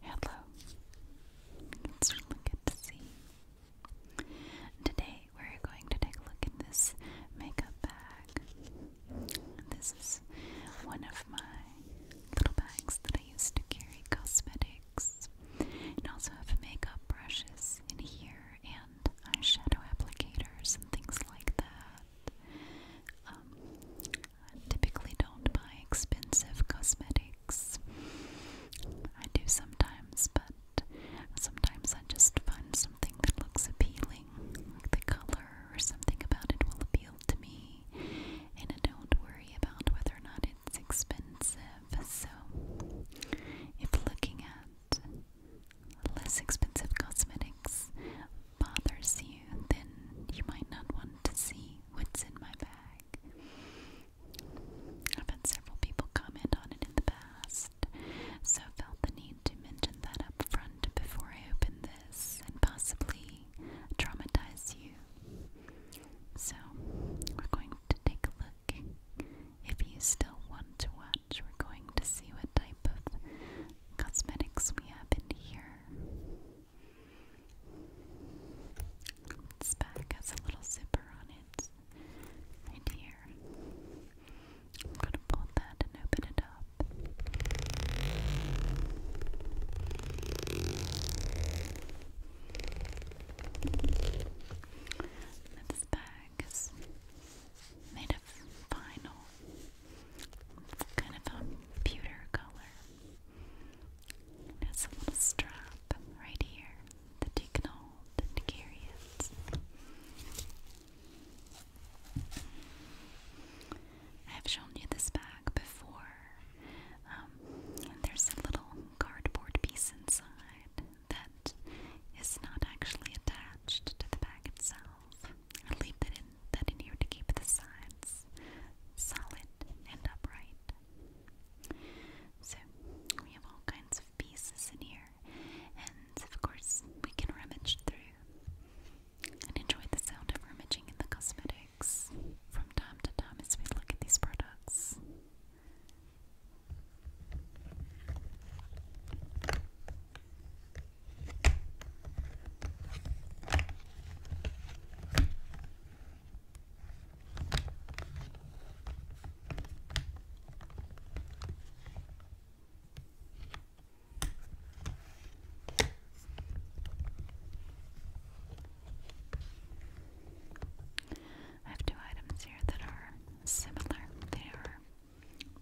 Hello. It's really good to see Today we're going to take a look at this makeup bag. This is one of my little bags that I used to carry cosmetics. And also have makeup brushes in here and eyeshadow applicators and things like that. Um, typically don't buy expensive cosmetics. I do sometimes, but sometimes I just find something that looks appealing. Like the color or something about it will appeal to me, and I don't worry about whether or not it's expensive. So, if looking at less expensive cosmetics bothers you, then you might not want to see what's in my bag. I've had several people comment on it in the past, so I felt the need to mention that up front before I open this and possibly traumatize you. So, we're going to take a look. If you still want to watch, we're going to see what type of cosmetics we have in here. This bag has a little zipper on it, right here. I'm gonna pull that and open it up. This bag is made of vinyl. kind of a pewter color. It a little strap right here that you can hold and carry it. I have shown you this bag before. Um, there's a little cardboard piece inside that is not actually attached to the bag itself. I leave that often that adhere to keep the sides solid and upright. So we have all kinds of pieces in here, and of course we can rummage through and enjoy the sound of rummaging in the cosmetics from time to time as we look at these products. I have two items here that are similar. They are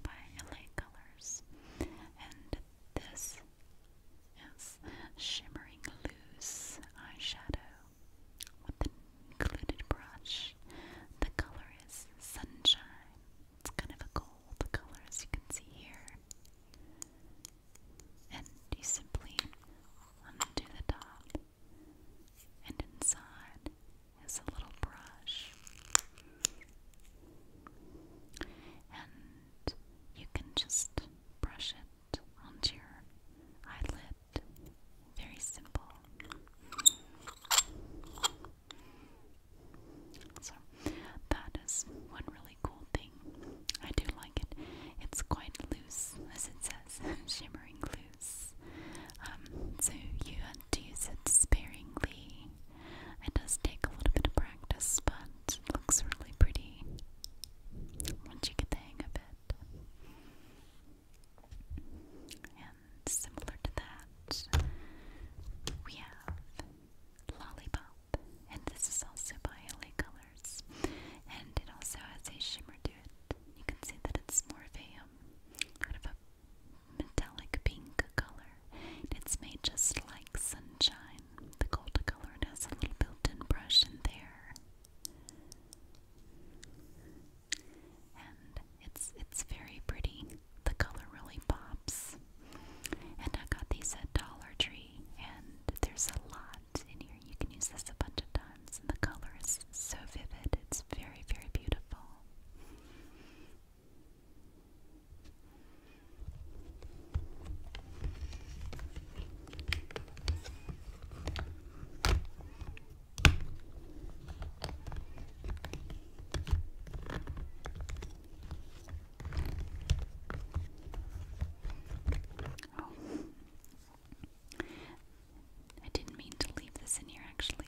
by LA Colors, and this Yes, shimmering loose eyeshadow with the included brush. The color is sunshine. It's kind of a gold color as you can see here. And you simply undo the top, and inside is a little brush you can just brush it onto your eyelid. Very simple. So, that is one really cool thing. I do like it. It's quite loose, as it says, shimmering loose. Um, so, you have use it sparingly. It does take a little bit of practice, but looks really pretty once you get the hang of it. And similar to that, we have Lollipop, and this is also by LA Colors, and it also has a shimmer to it. You can see that it's more of a um, metallic pink color. It's made just like sunshine. The gold color has a little built-in brush in there. And it's it's very pretty. The color really pops. And I got these at Dollar Tree and there's a lot in here. You can use this a bunch of times. And the color is so vivid. It's very, very beautiful. Oh. I didn't mean to leave this in here actually.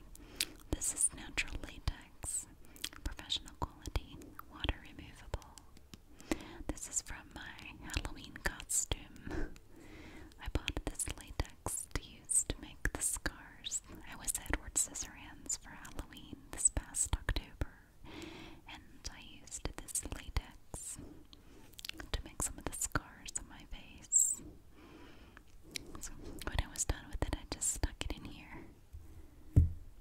This is natural latex, professional quality, water removable, this is from my Halloween costume. I bought this latex to use to make the scars. I was Edward Scissorhands for Halloween this past October, and I used this latex to make some of the scars on my face. when I was done with it, I just stuck it in here.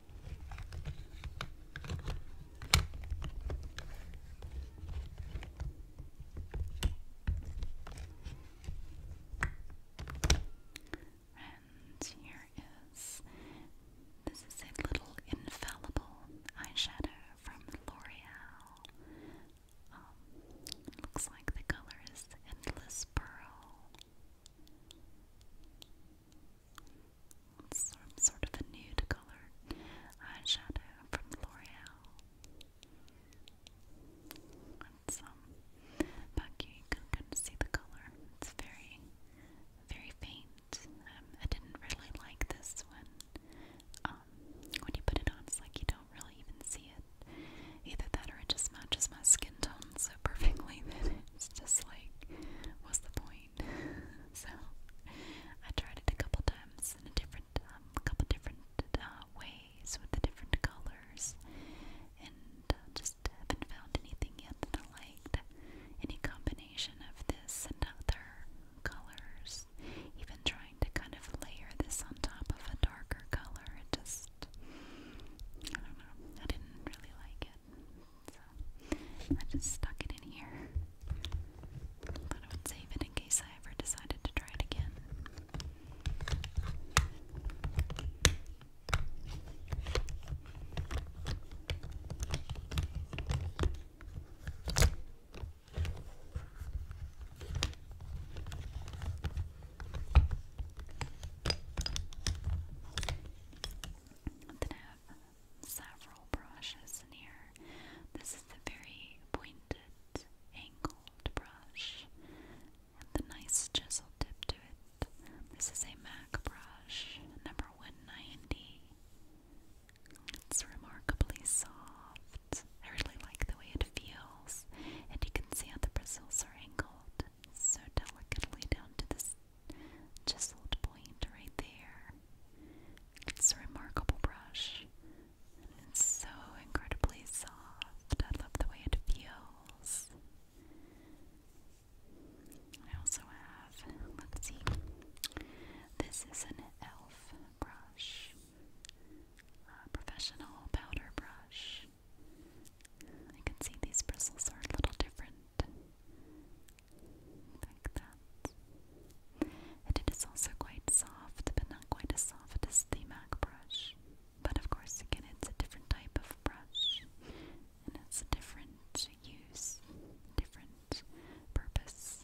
And here is this is a little infallible eyeshadow from L'Oreal. Um, looks like the color is Endless Pearl. It's sort of a nude color eyeshadow from L'Oreal. It's um, back here you can kind of see the color. It's very, very faint. Um, I didn't really like this one. Um, when you put it on, it's like you don't really even see it. Either that or it just matches my skin tone so perfectly that it's just like, what's the point? so I tried it a couple times in a different, um, couple different uh, ways with the different colors, and uh, just haven't found anything yet that I liked. Any combination of this and other colors, even trying to kind of layer this on top of a darker color, just I don't know. I didn't really like it. I just stuck it in here. But I would save it in case I ever decided to try it again. Then I have several brushes in here. This is the very pointed, angled brush, and the nice chisel tip to it. This is a MAC brush, number 190. It's remarkably soft. I really like the way it feels, and you can see how the bristles are angled so delicately down to this chiseled point right there. It's a remarkable brush. it's so incredibly soft. I love the way it feels. I also have, let's see, this is an e.l.f. brush, a professional powder brush. I can see these bristles are a little different. Like that. it is also quite soft, but not quite as soft as the MAC brush. But of course, again, it's a different type of brush. And it's a different use, different purpose.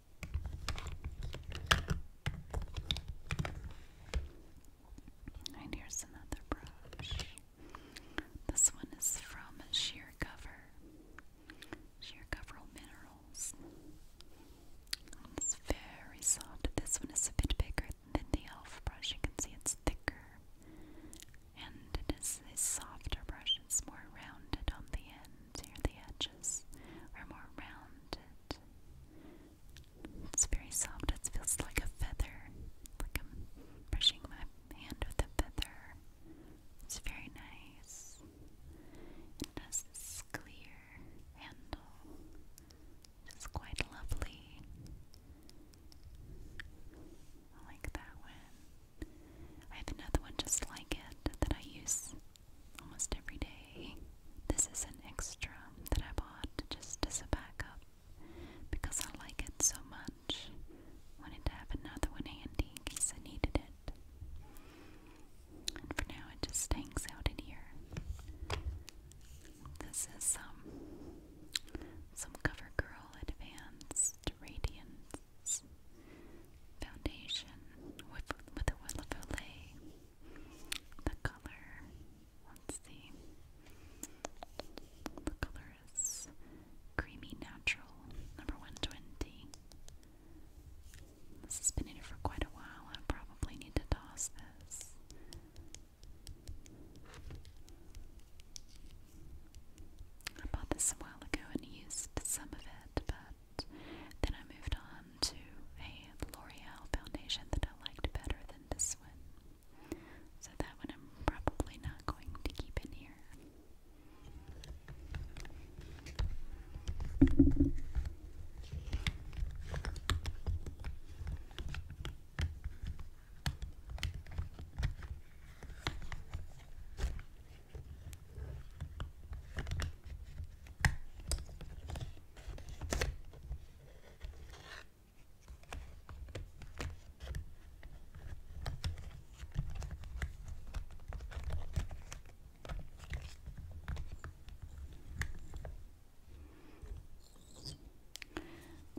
And here's another brush. This one is from Sheer Cover. Sheer Cover Minerals. it's very soft. This one is a bit bigger than the e.l.f. brush. You can see it's thicker. And it is a softer brush. It's more rounded on the end here, the edges are more rounded. It's very soft, it feels like a feather, like I'm brushing my hand with a feather. It's very nice. It has this clear handle, it's quite lovely. I like that one. I have another one just like it that I use almost every day. This is an extra that I bought just as a backup because I like it so much. Wanted to have another one handy in case I needed it. for now, it just hangs out in here. This is um, some CoverGirl Advanced Radiant Foundation with, with a Willa Filet. The color, let's see, the color is Creamy Natural, number 120. This has been in it for quite a while. I probably need to toss this. I bought this a while ago and used some of it, but then I moved on to a L'Oreal foundation that I liked better than this one. So that one I'm probably not going to keep in here.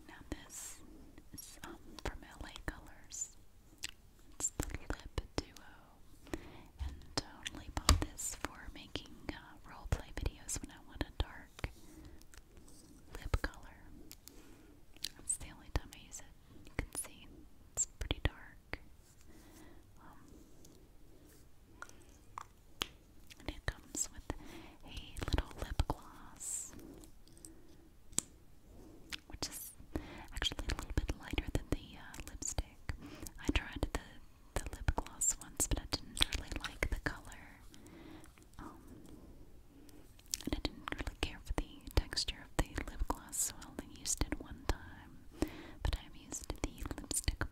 Now this is um, from LA Colors. It's the Lip Duo. And totally bought this for making uh, roleplay videos when I want a dark lip color. That's the only time I use it. You can see it's pretty dark. Um, and it comes with a little lip gloss, which is actually a little bit lighter than the uh, lipstick. I tried the, the lip gloss once, but I didn't really like the color. Um, and I didn't really care for the texture of the lip gloss, so I only used it one time. But I've used the lipstick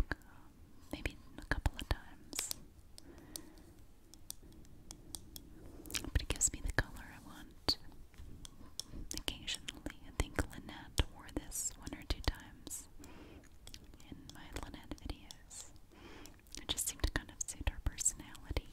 maybe a couple of times. But it gives me the color I want. Occasionally, I think Lynette wore this one or two times in my Lynette videos. It just seemed to kind of suit her personality.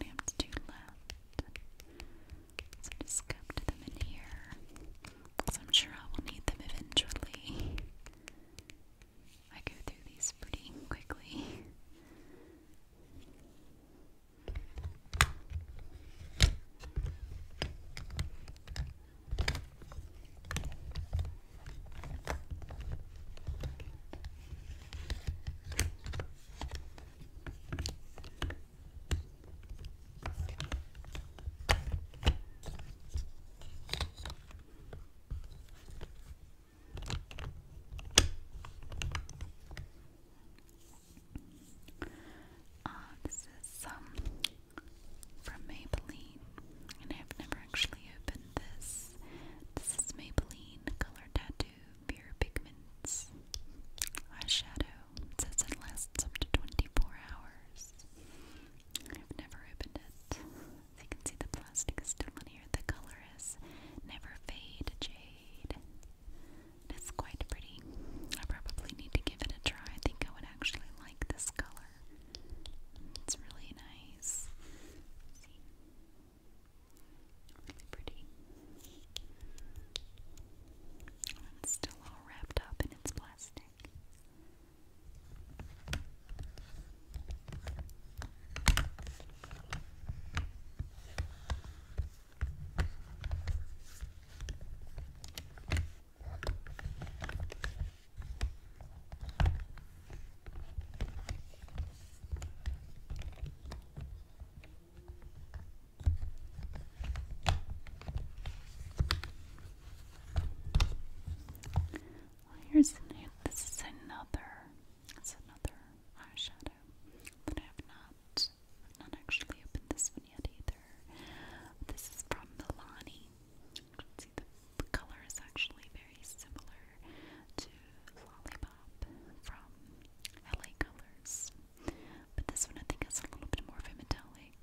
I have two left. So I just scooped them in here. So I'm sure I will need them eventually. I go through these pretty quickly. Uh, this is um, from Maybelline, and I've never actually opened this. This is Maybelline Color Tattoo pure pigments. Eyeshadow. says it lasts up to 24 hours. i never opened it. you can see, the plastic is still in here. The color is Never Fade Jade. It's quite pretty. I probably need to give it a try. I think I would actually like this color. It's really nice. Really pretty. still all wrapped up in its plastic. Well, here's this is another it's another eyeshadow that I have not not actually opened this one yet either. This is from Milani. see the, the color is actually very similar to Lollipop from LA Colors. But this one I think has a little bit more of a metallic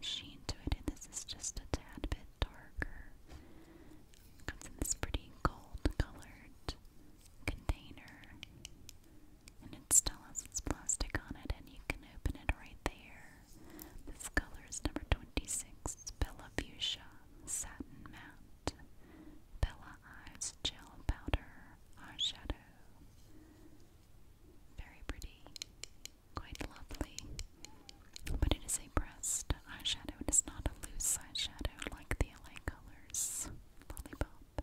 sheen to it, and this is just a tad bit darker. Comes in this pretty gold colored container, and it still has its plastic on it, and you can open it right there. This color is number 26, Bella Fuchsia Satin Matte. Bella Eyes Gel Powder Eyeshadow. Very pretty, quite lovely, but it is a pressed eyeshadow. It is not a loose eyeshadow like the LA Colors Lollipop.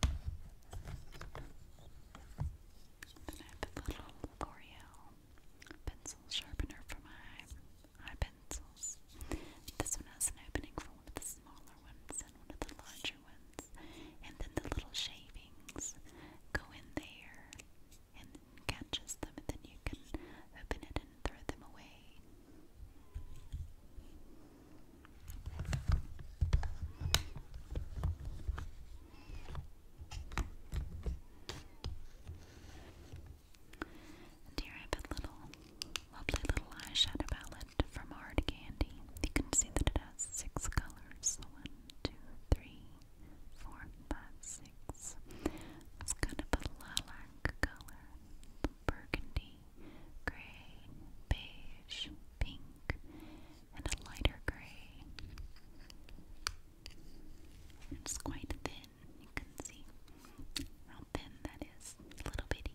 Then I have a little L'Oreal pencil sharpener for my eye pencils. This one has an opening for one of the smaller ones and one of the larger ones. And then the little shavings go in there and catches them and then you can open it and throw them away here I have a little, lovely little eyeshadow palette from Hard Candy. You can see that it has six colors. One, two, three, four, five, six. It's kind of a lilac color, burgundy, gray, beige, pink, and a lighter gray. It's quite thin, you can see how thin that is, little bitty.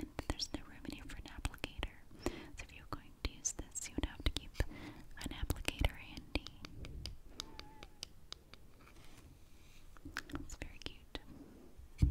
And there's no room here for an applicator. So if you're going to use this, you would have to keep an applicator handy. It's very cute.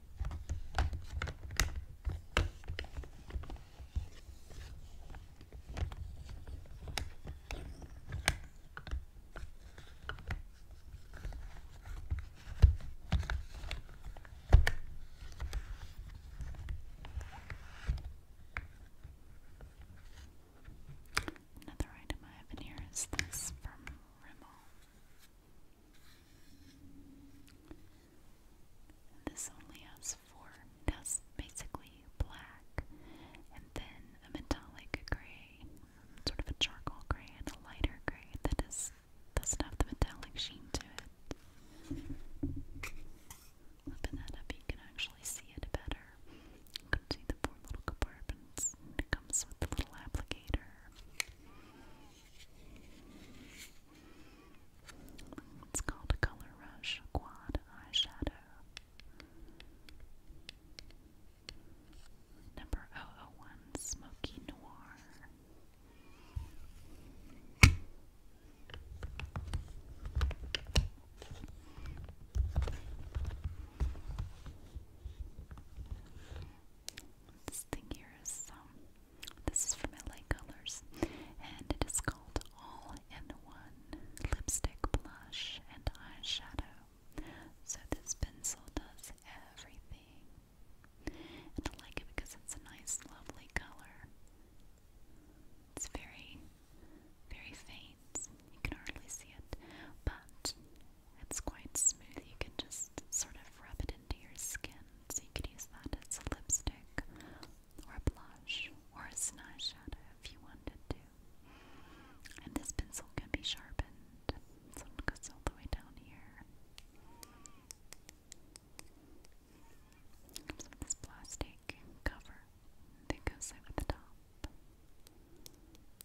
Another item I have in here is this from Rimmel. This only has four. That's basically black, and then a metallic gray, sort of a charcoal gray, and a lighter gray That is doesn't have the metallic sheen to it. Open that up, you can actually see it better. see the four little compartments. comes with a little applicator. It's called a Color Rush Quad Eyeshadow. Number 001 Smoky Noir. This thing here is, um, this is from LA Colors, and it is called All in One Lipstick, Blush, and Eyeshadow. So this pencil does everything. And I like it because it's a nice, lovely color. It's very, very faint. You can hardly see it, but it's quite smooth. You can just sort of rub it into your skin. So you could use that as a lipstick or a blush or a an eyeshadow if you wanted to. And this pencil can be sharpened. So it goes all the way down here. Comes this plastic cover that goes over the top.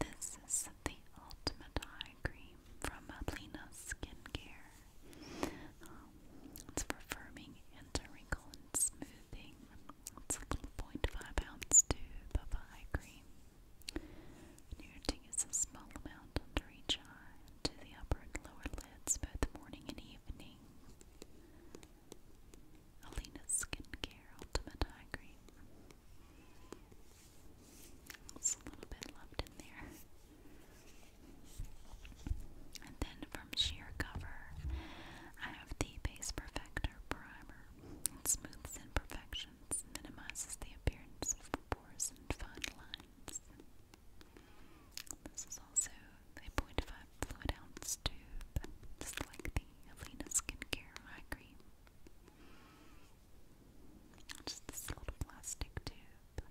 This is the ultimate eye cream from Ablina Skincare. it's for firming and wrinkle smoothing. It's a 0.5 ounce tube of eye cream. Narrating is a small amount under each to the upper and lower lids both morning and evening. Alina's Skincare Ultimate Eye Cream. a little bit left in there. And then from sheer cover, I have the Base Perfector Primer. It smooths imperfections minimizes the appearance of pores and fine lines. This is also a 0.5 fluid ounce tube, just like the Alina Skincare Eye Cream. Just this little plastic tube.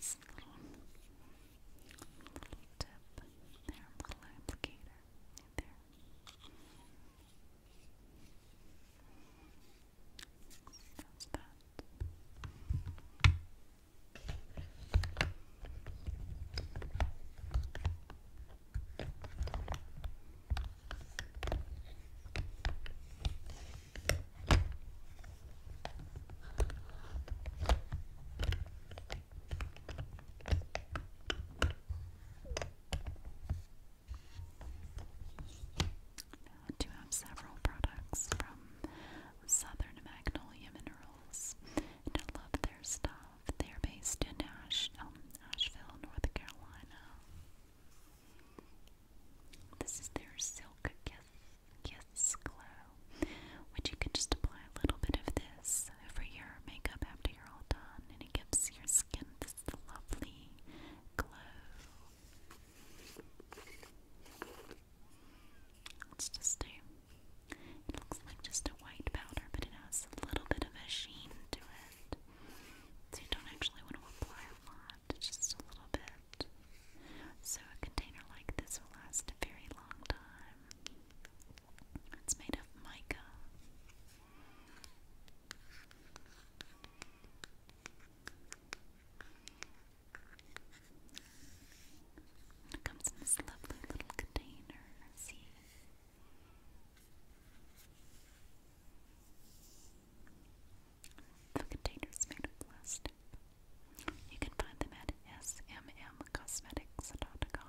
Just little, little tip there, little applicator there. That's that. Now uh, I do have several products from Southern Magnolia Minerals, and I love their stuff. They're based in Ash um, North Carolina. This is their Silk Kiss, Kiss Glow, which you can just apply a little bit of this over your makeup after you're all done, and it gives your skin just the lovely glow. It's just a, it looks like just a white powder, but it has a little bit of a sheen to it. So you don't actually want to apply a lot, just a little bit. So a container like this will last a very long time. It's made of mica. It comes in this lovely little container. See? The container's made of plastic. You can find them at smmcosmetics.com.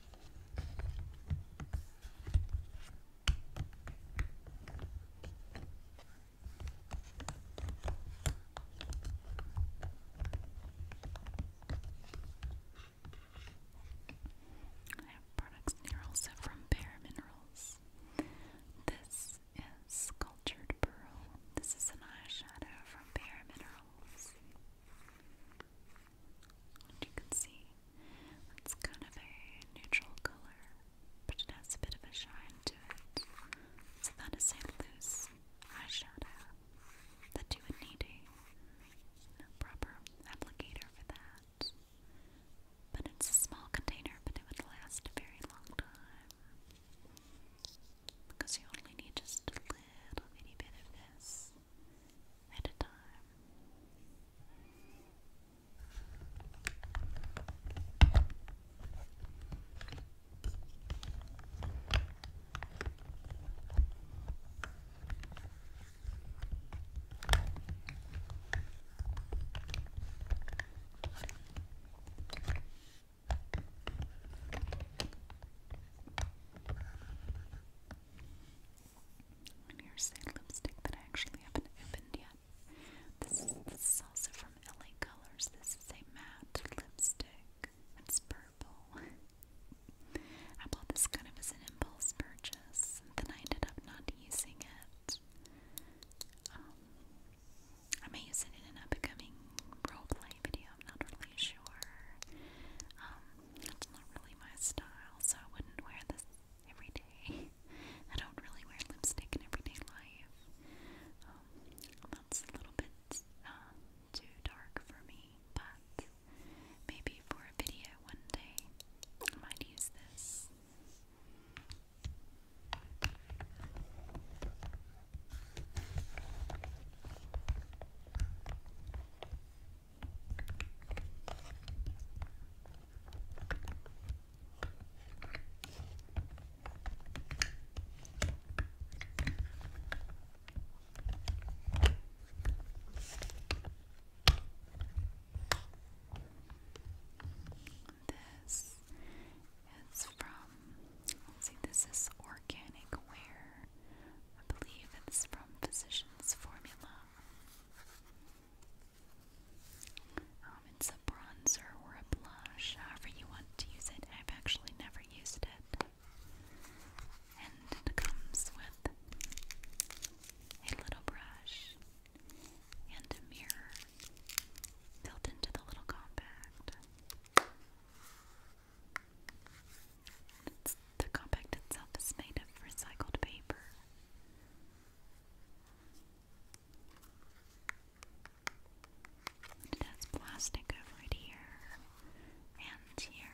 I have products also from Bare Minerals. This is Sculptured Pearl. This is an eyeshadow from Bare Minerals. And you can see it's kind of a neutral color, but it has a bit of a shine to it. So that is a loose eyeshadow that you would need a proper applicator for that. But it's a small container, but it would last a very long time. Because you only need just a little bitty bit of this at a time. And here's the lipstick that I actually haven't opened yet. This is, this is also from LA Colors. This is a matte lipstick. It's purple. I bought this kind of as an impulse purchase, and then I ended up not using it. Um, I may use it in an upcoming roleplay video, I'm not really sure. Um, that's not really my style, so I wouldn't wear this every day. I don't really wear lipstick in everyday life. Um, that's a little bit uh, too dark for me, but maybe for a video one day I might use this. This is from, let's see, this is organic ware. I believe it's from Physicians Formula. Um, it's a bronzer or a blush, however you want to use it. I've actually never used it. And it comes with a little brush and a mirror built into the little compact. It's, the compact itself is made of recycled paper. And plastic over it here and here.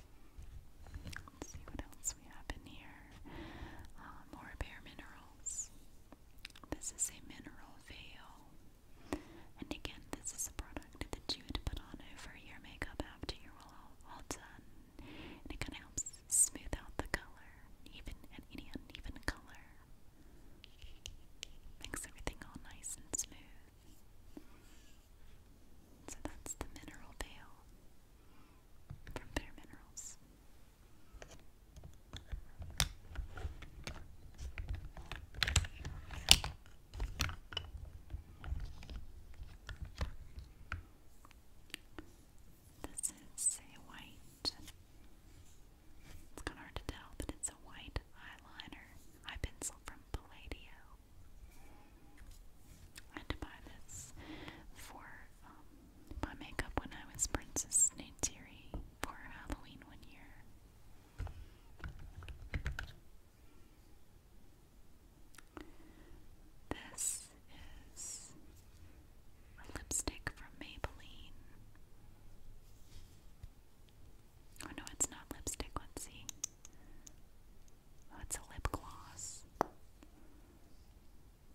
Let's see what else we have in here. Uh, more bare minerals. This is a mineral veil. And again, this is a product that you would put on over your makeup after you're all, done. And it kind of helps smooth out the color, even at any uneven color. Makes everything all nice and smooth. So that's the mineral pail from Bitter Minerals. This is a white, it's kind of hard to tell, but it's a white eyeliner, eye pencil from Palladio. I had to buy this for my um, makeup when I was Princess Neytiri for Halloween one year. This is a lipstick from Maybelline. Oh no, it's not lipstick. Let's see. Oh, it's a lip gloss.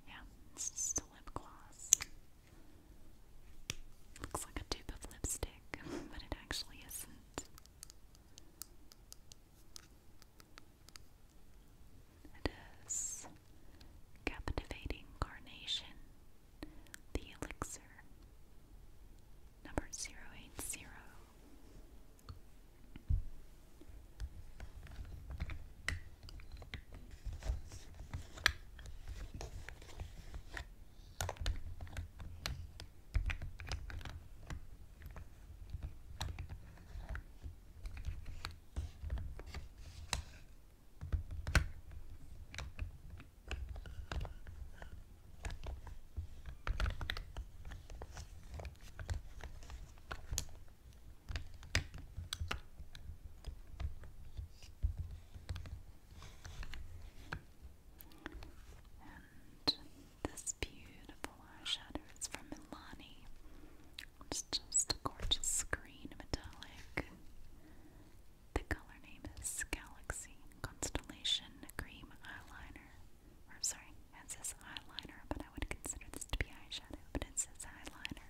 Yeah, it's a lip gloss. Looks like a tube of lipstick, but it actually isn't. It is Captivating Carnation, the Elixir number 080. And this beautiful eyeshadow is from Milani. It's just a gorgeous green metallic. The color name is Galaxy Constellation Cream Eyeliner. I'm sorry, it says eyeliner, but I would consider this to be eyeshadow, but it says eyeliner.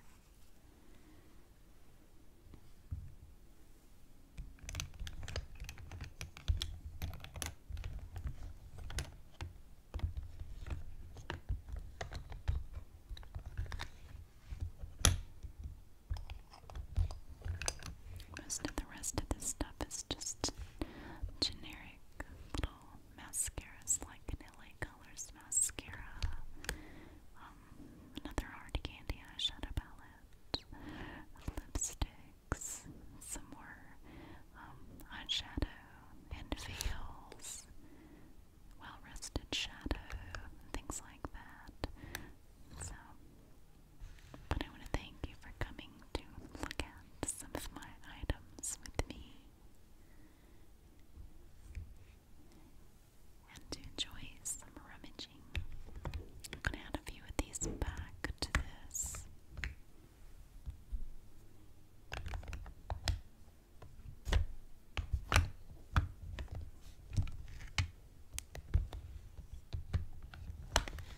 Most of the rest of this stuff is just generic little mascaras like an Colors mascara, um, another hard candy eyeshadow palette, lipsticks, some more um, eyeshadow and veils, well rested shadow, things like that. So but I want to thank you for coming to look at some of my items with me and to enjoy some rummaging. I'm going to add a few of these back to this.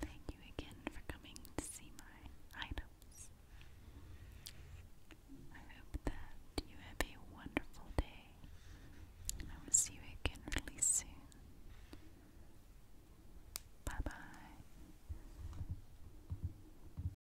Thank you again for coming to see my items. I hope that you have a wonderful day, I will see you again really soon. Bye bye.